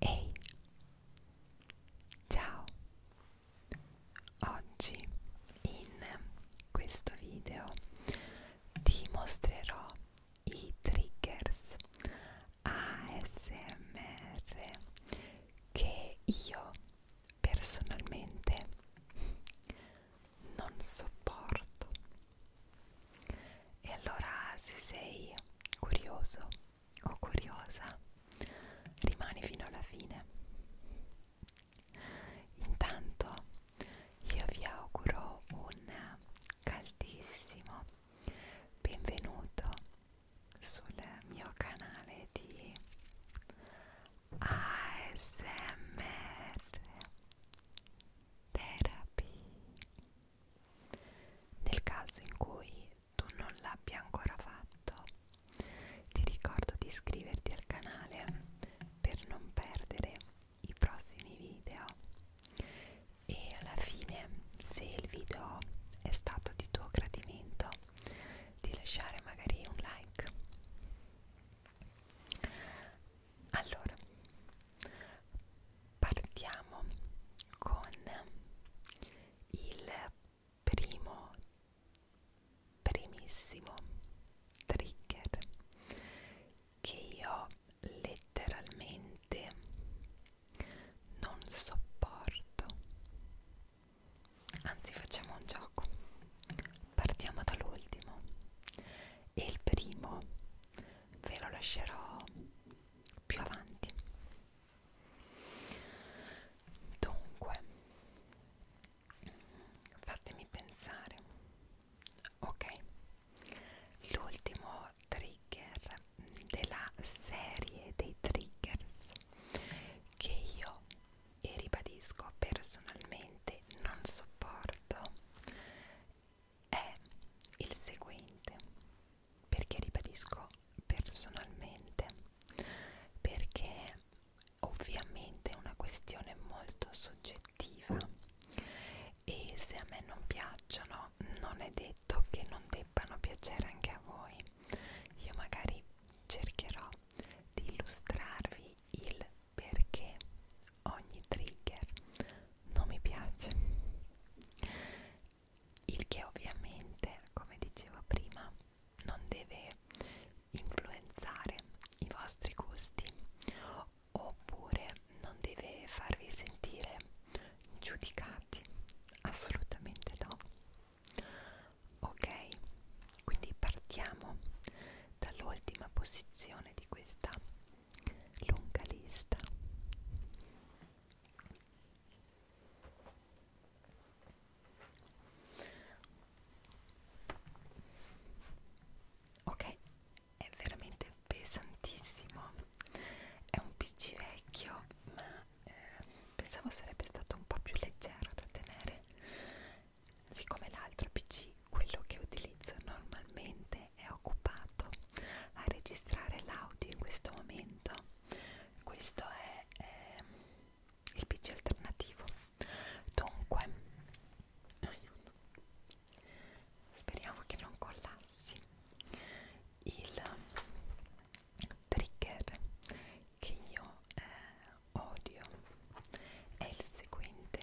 Ehi, ciao! Oggi in questo video ti mostrerò i triggers ASMR che io personalmente non sopporto. E allora se sei curioso o curiosa, rimani fino alla fine. Intanto io vi auguro un caldissimo benvenuto sul mio canale di ASMR Therapy. Nel caso in cui tu non l'abbia ancora fatto, ti ricordo di iscriverti al canale per non perdere i prossimi video e alla fine se il video è stato di tuo gradimento di lasciare magari un like allora partiamo con il primo primissimo trigger che io letteralmente non sopporto anzi facciamo un gioco partiamo dall'ultimo e il primo ve lo lascerò più avanti Dunque, fatemi pensare. Ok, l'ultimo trigger della serie dei triggers che io e ribadisco personalmente non sopporto è il seguente perché ribadisco personalmente perché ovviamente è una questione molto soggettiva e se a me non piacciono non è detto che non debbano piacere anche a voi io magari cercherò di illustrarvi il perché ogni trigger non mi piace il che ovviamente, come dicevo prima, non deve influenzare i vostri gusti oppure non deve farvi sentire giudicati, assolutamente no. Ok, quindi partiamo dall'ultima posizione di questa lunga lista ok è veramente pesantissimo è un pc vecchio ma eh, pensavo sarebbe stato un po' più leggero da tenere siccome l'altro pc quello che utilizzo normalmente è occupato a registrare l'audio in questo momento questo è eh, il pc alternativo dunque aiuto. speriamo che non collassi il trigger che io eh, odio è il seguente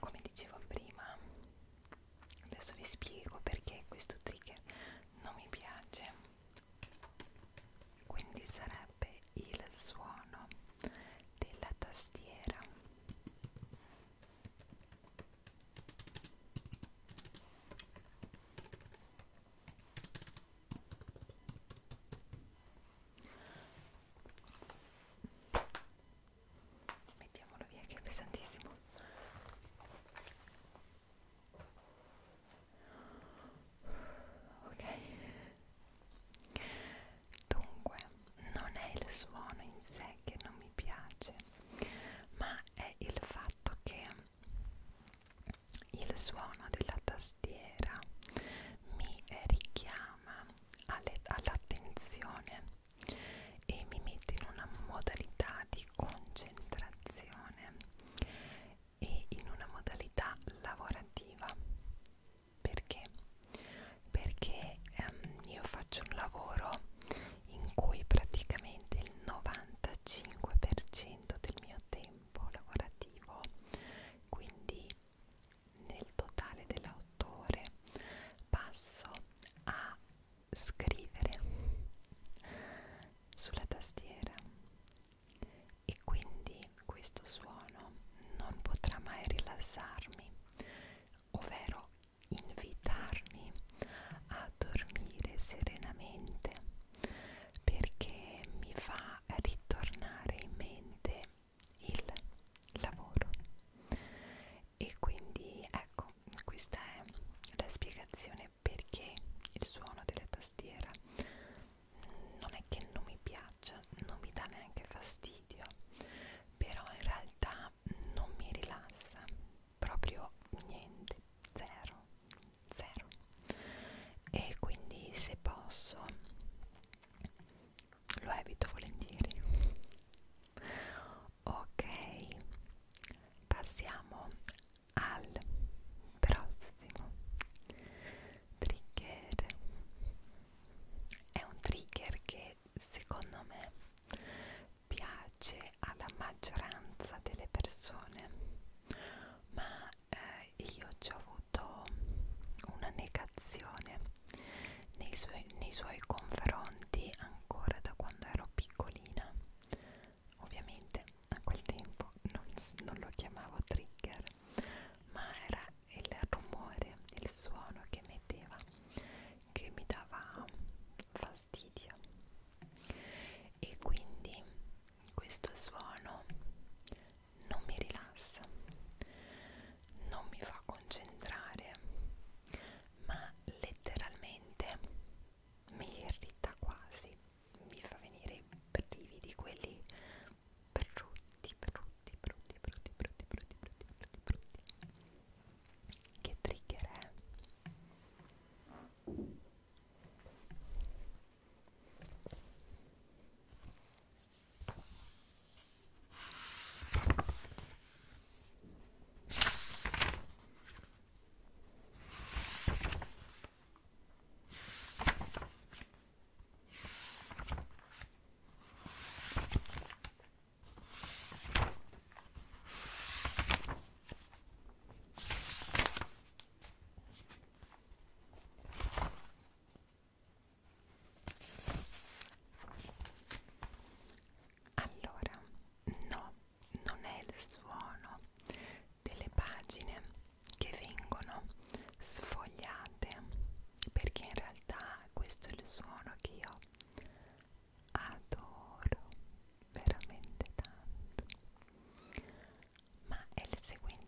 Come dicevo prima, adesso vi spiego perché questo trigger non mi piace quindi sarebbe il suono della tastiera mettiamolo via che è pesantissimo ok dunque non è il suono in sé che non mi piace ma è il fatto che il suono della tastiera mi richiama all'attenzione e mi mette in una modalità di concentrazione e in una modalità lavorativa perché perché ehm, io faccio un lavoro in cui praticamente il 95% del mio tempo lavorativo quindi nel totale dell'autore passo a scrivere sulla tastiera e quindi questo suono non potrà mai rilassarmi, ovvero invitarmi a dormire serenamente perché mi fa ritornare in mente il lavoro e quindi ecco questa è la spiegazione perché il suono della tastiera non è che non mi piaccia, non mi dà neanche fastidio, però in realtà non mi rilassa proprio niente, zero, zero. E quindi se posso lo evito volentieri. Ok, passiamo al prossimo trigger è un trigger che secondo me piace alla maggioranza delle persone ma eh, io ci ho avuto una negazione nei suoi, nei suoi confronti ancora da quando ero piccolina ovviamente a quel tempo non, non lo chiamavo trigger ma era il rumore, il suono che metteva che mi dava fastidio e quindi questo suono non mi rilassa, non mi fa concentrare, ma letteralmente mi irrita quasi mi fa venire i brividi quelli brutti, brutti, brutti, brutti, brutti, brutti, brutti, brutti, brutti. Che trigger è? Eh. Allora, no, non è il suono delle pagine che vengono sfogliate perché in realtà questo è il suono che io adoro veramente tanto ma è il seguente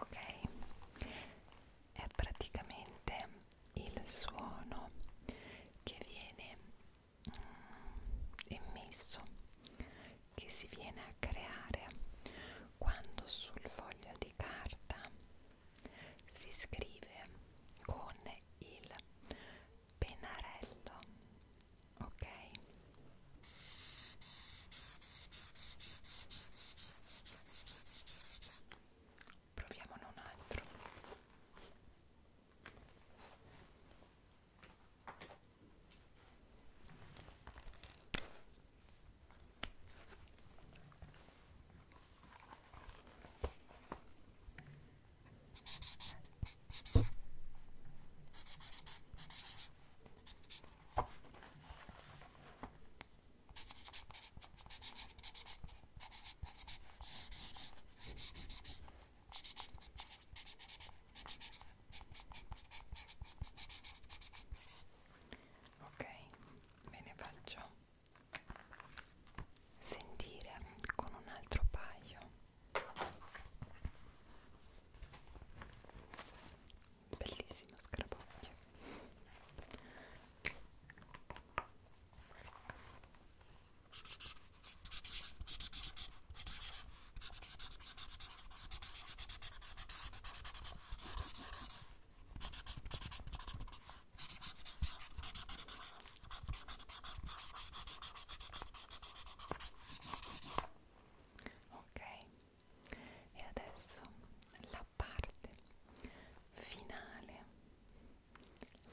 Ok, è praticamente il suono che viene immesso che si viene a creare quando sul foglio di carta si scrive con il pennarello ok proviamone un altro Ok, me ne faccio sentire con un altro paio bellissimo scarabocchio Ok, e adesso la parte finale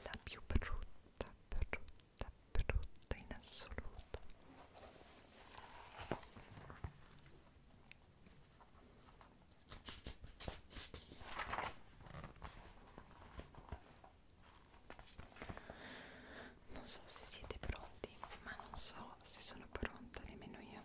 la più brutta, brutta, brutta in assoluto. Non so se siete pronti, ma non so se sono pronta nemmeno io.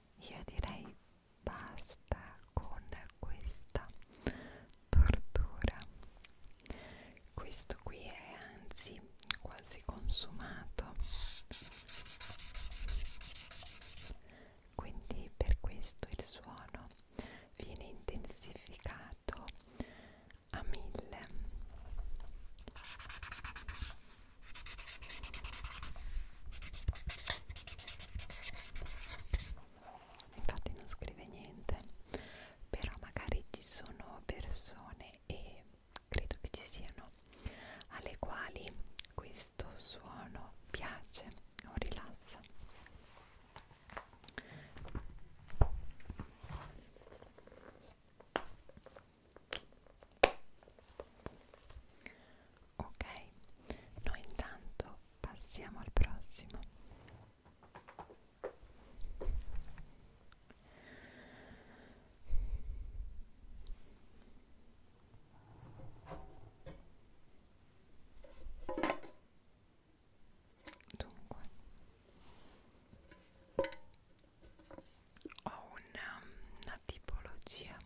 io direi basta con questa tortura questo qui è anzi quasi consumato quindi per questo il suono viene intensificato a mille infatti non scrive niente però magari ci sono persone e credo che ci siano alle quali questo suono piace o rilassa ok noi intanto passiamo al prossimo Dunque, ho una, um, una tipologia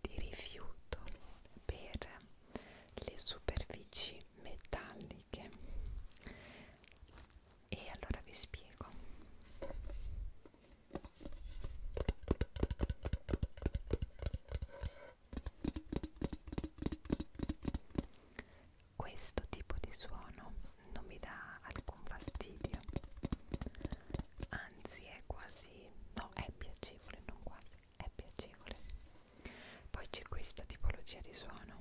di rifiuto per le superfici metalliche e allora vi spiego questo tipo di suono non mi dà alcun fastidio anzi è quasi no è piacevole non quasi è piacevole poi c'è questa tipologia di suono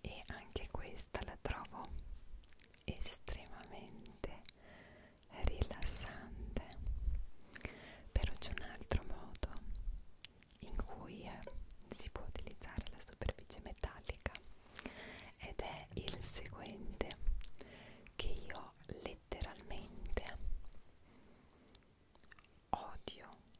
e anche questa questa la trovo estremamente rilassante però c'è un altro modo in cui eh, si può utilizzare la superficie metallica ed è il seguente che io letteralmente odio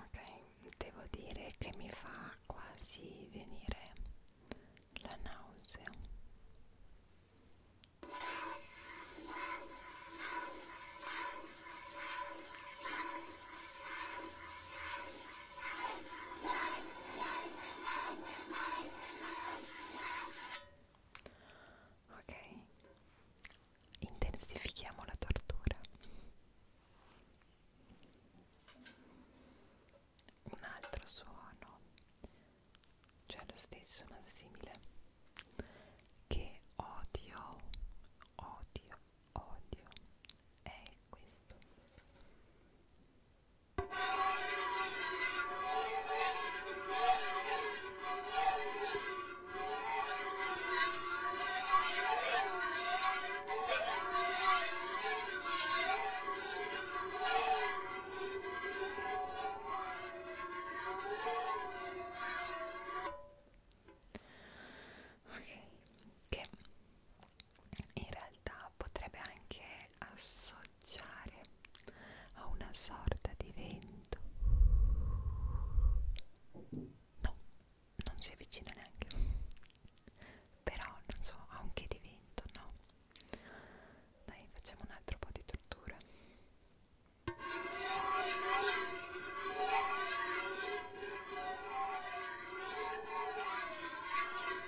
Ok, devo dire che mi fa quasi venire la nausea. Ok, intensifichiamo la tortura. Un altro suono, cioè lo stesso ma simile, che odio, odio, odio è questo Ok, che in realtà potrebbe anche associare a una sorta di vento no non si avvicina neanche però non so ha un che di vento no dai facciamo un altro po' di tortura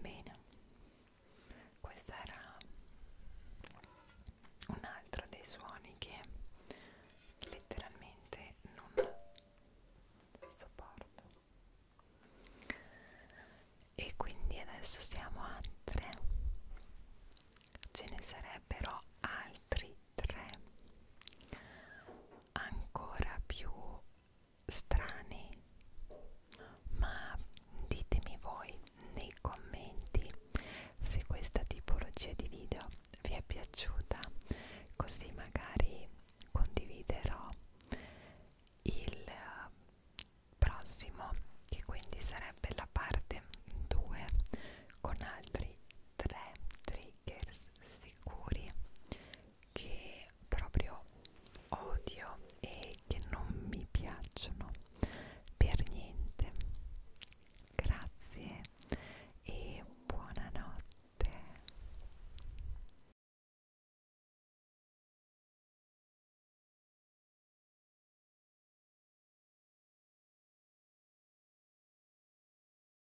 Bene, questo era un altro dei suoni che letteralmente non sopporto. E quindi adesso siamo a tre. Ce ne sarebbero altri tre ancora più strani ma ditemi voi nei commenti se questa tipologia di video vi è piaciuta così magari condividerò il eh, prossimo che quindi sarebbe la parte 2 con altri 3 3 makers sicuri che proprio odio e che non mi piacciono per niente grazie e buonanotte